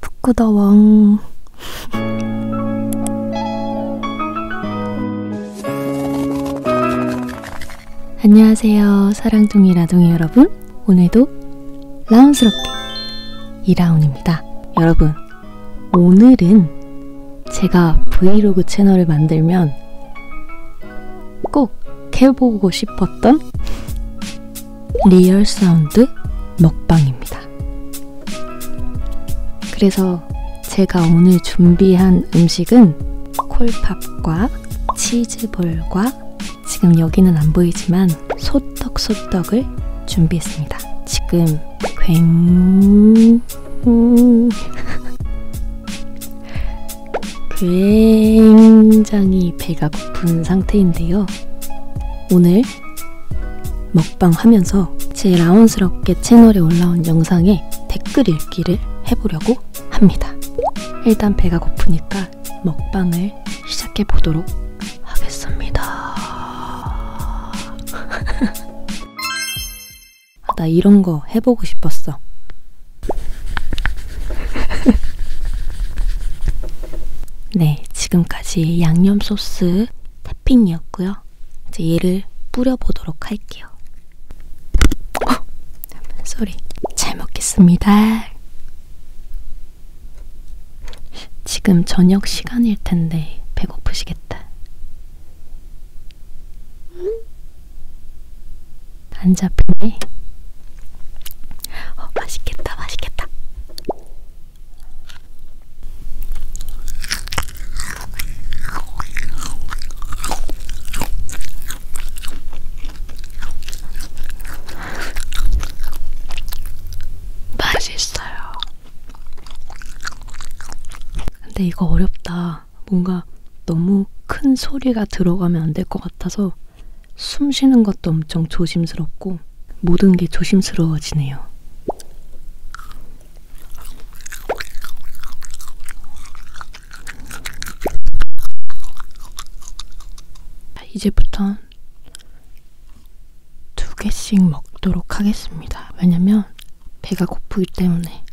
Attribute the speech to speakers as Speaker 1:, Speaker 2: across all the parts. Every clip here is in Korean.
Speaker 1: 북구다왕 안녕하세요 사랑둥이 라둥이 여러분 오늘도 라운스럽게 2라운입니다 여러분 오늘은 제가 브이로그 채널을 만들면 꼭 해보고 싶었던 리얼 사운드 먹방입니다. 그래서 제가 오늘 준비한 음식은 콜팝과 치즈볼과 지금 여기는 안 보이지만 소떡소떡을 준비했습니다. 지금 굉... 굉장히 배가 고픈 상태인데요. 오늘 먹방하면서 제 라온스럽게 채널에 올라온 영상에 댓글 읽기를 해보려고 합니다. 일단 배가 고프니까 먹방을 시작해 보도록 하겠습니다. 아, 나 이런 거 해보고 싶었어. 네, 지금까지 양념 소스 태핑이었고요. 이제 얘를 뿌려보도록 할게요. 쏘리, 어, 잘 먹겠습니다. 지금 저녁 시간일 텐데 배고프시겠다. 안 잡히네. 어, 맛있겠다, 맛있겠다. 맛있어요. 근데 이거 어렵다. 뭔가 너무 큰 소리가 들어가면 안 될 것 같아서 숨 쉬는 것도 엄청 조심스럽고 모든 게 조심스러워지네요. 이제부턴 두 개씩 먹도록 하겠습니다. 왜냐면 배가 고프기 때문에.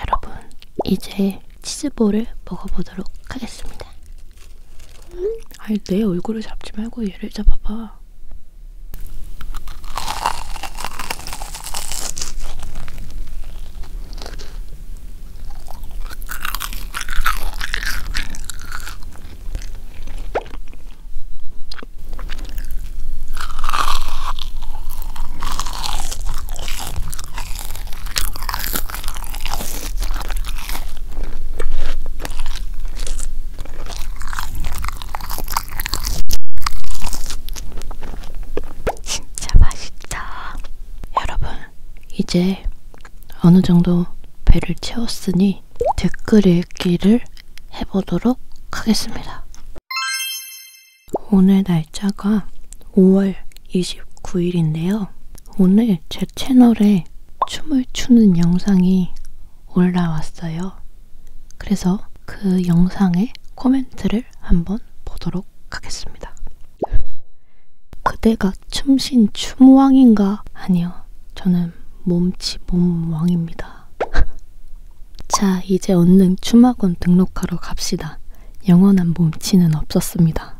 Speaker 1: 여러분, 이제 치즈볼을 먹어보도록 하겠습니다. 아니 내 얼굴을 잡지 말고 얘를 잡아봐. 진짜 맛있다. 여러분, 이제 어느 정도 배를 채웠으니 댓글 읽기를 해보도록 하겠습니다. 오늘 날짜가 5월 29일인데요. 오늘 제 채널에 춤을 추는 영상이 올라왔어요. 그래서 그 영상의 코멘트를 한번 보도록 하겠습니다. 그대가 춤신 춤왕인가? 아니요. 저는 몸치 몸왕입니다. 자, 이제 얻는 춤학원 등록하러 갑시다. 영원한 몸치는 없었습니다.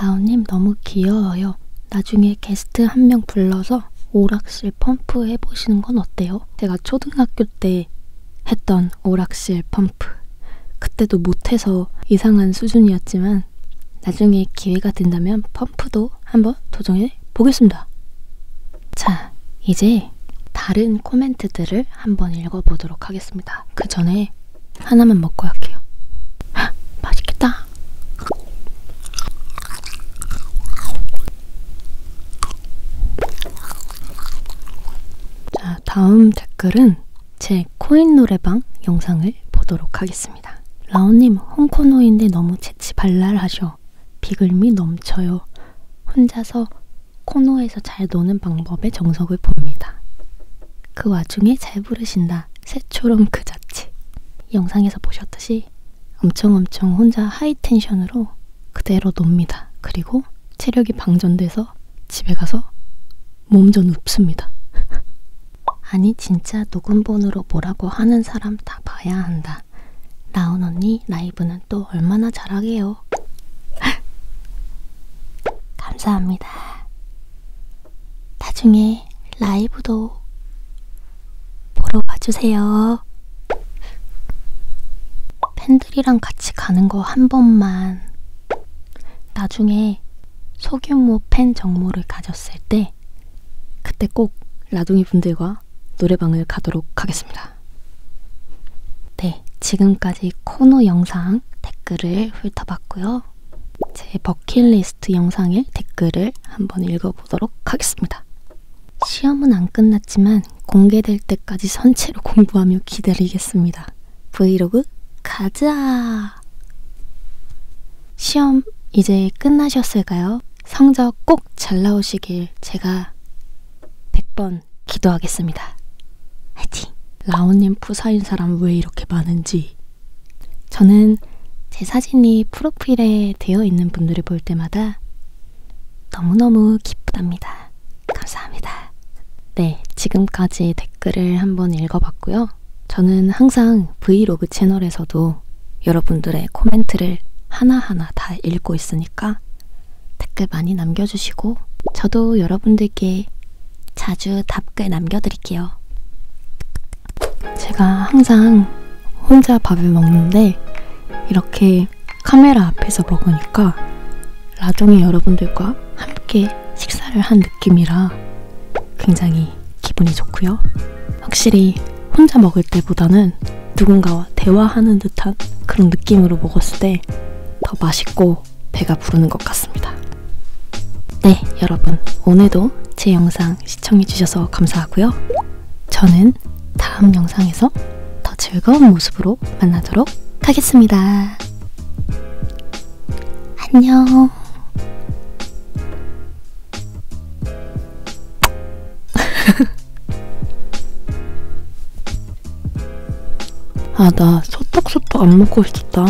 Speaker 1: 라온님 너무 귀여워요. 나중에 게스트 한 명 불러서 오락실 펌프 해보시는 건 어때요? 제가 초등학교 때 했던 오락실 펌프. 그때도 못해서 이상한 수준이었지만 나중에 기회가 된다면 펌프도 한번 도전해 보겠습니다. 자, 이제 다른 코멘트들을 한번 읽어보도록 하겠습니다. 그 전에 하나만 먹고 할게요. 헉, 맛있겠다. 자, 다음 댓글은 제 코인 노래방 영상을 보도록 하겠습니다. 라온님, 홍코노인데 너무 재치 발랄하셔. 비글미 넘쳐요. 혼자서 코너에서 잘 노는 방법에 정석을 봅니다. 그 와중에 잘 부르신다. 새초롬 그 자체. 영상에서 보셨듯이 엄청 엄청 혼자 하이텐션으로 그대로 놉니다. 그리고 체력이 방전돼서 집에 가서 몸전 눕습니다. 아니 진짜 녹음본으로 뭐라고 하는 사람 다 봐야 한다. 나온 언니 라이브는 또 얼마나 잘하게요. 감사합니다. 나중에 라이브도 보러 와주세요. 팬들이랑 같이 가는 거 한 번만 나중에 소규모 팬 정모를 가졌을 때 그때 꼭 라둥이 분들과 노래방을 가도록 하겠습니다. 네, 지금까지 코너 영상 댓글을 훑어봤고요. 제 버킷리스트 영상의 댓글을 한번 읽어보도록 하겠습니다. 시험은 안 끝났지만 공개될 때까지 선체로 공부하며 기다리겠습니다. 브이로그 가자! 시험 이제 끝나셨을까요? 성적 꼭 잘 나오시길 제가 100번 좀 기도하겠습니다. 화이팅! 라온님 프사인 사람 왜 이렇게 많은지 저는 제 사진이 프로필에 되어 있는 분들을 볼 때마다 너무너무 기쁘답니다. 감사합니다. 네, 지금까지 댓글을 한번 읽어봤고요. 저는 항상 브이로그 채널에서도 여러분들의 코멘트를 하나하나 다 읽고 있으니까 댓글 많이 남겨주시고 저도 여러분들께 자주 답글 남겨드릴게요. 제가 항상 혼자 밥을 먹는데 이렇게 카메라 앞에서 먹으니까 라종의 여러분들과 함께 식사를 한 느낌이라 굉장히 기분이 좋고요. 확실히 혼자 먹을 때보다는 누군가와 대화하는 듯한 그런 느낌으로 먹었을 때 더 맛있고 배가 부르는 것 같습니다. 네, 여러분. 오늘도 제 영상 시청해주셔서 감사하고요. 저는 다음 영상에서 더 즐거운 모습으로 만나도록 하겠습니다. 안녕. 아, 나 소떡소떡 안 먹고 있었다.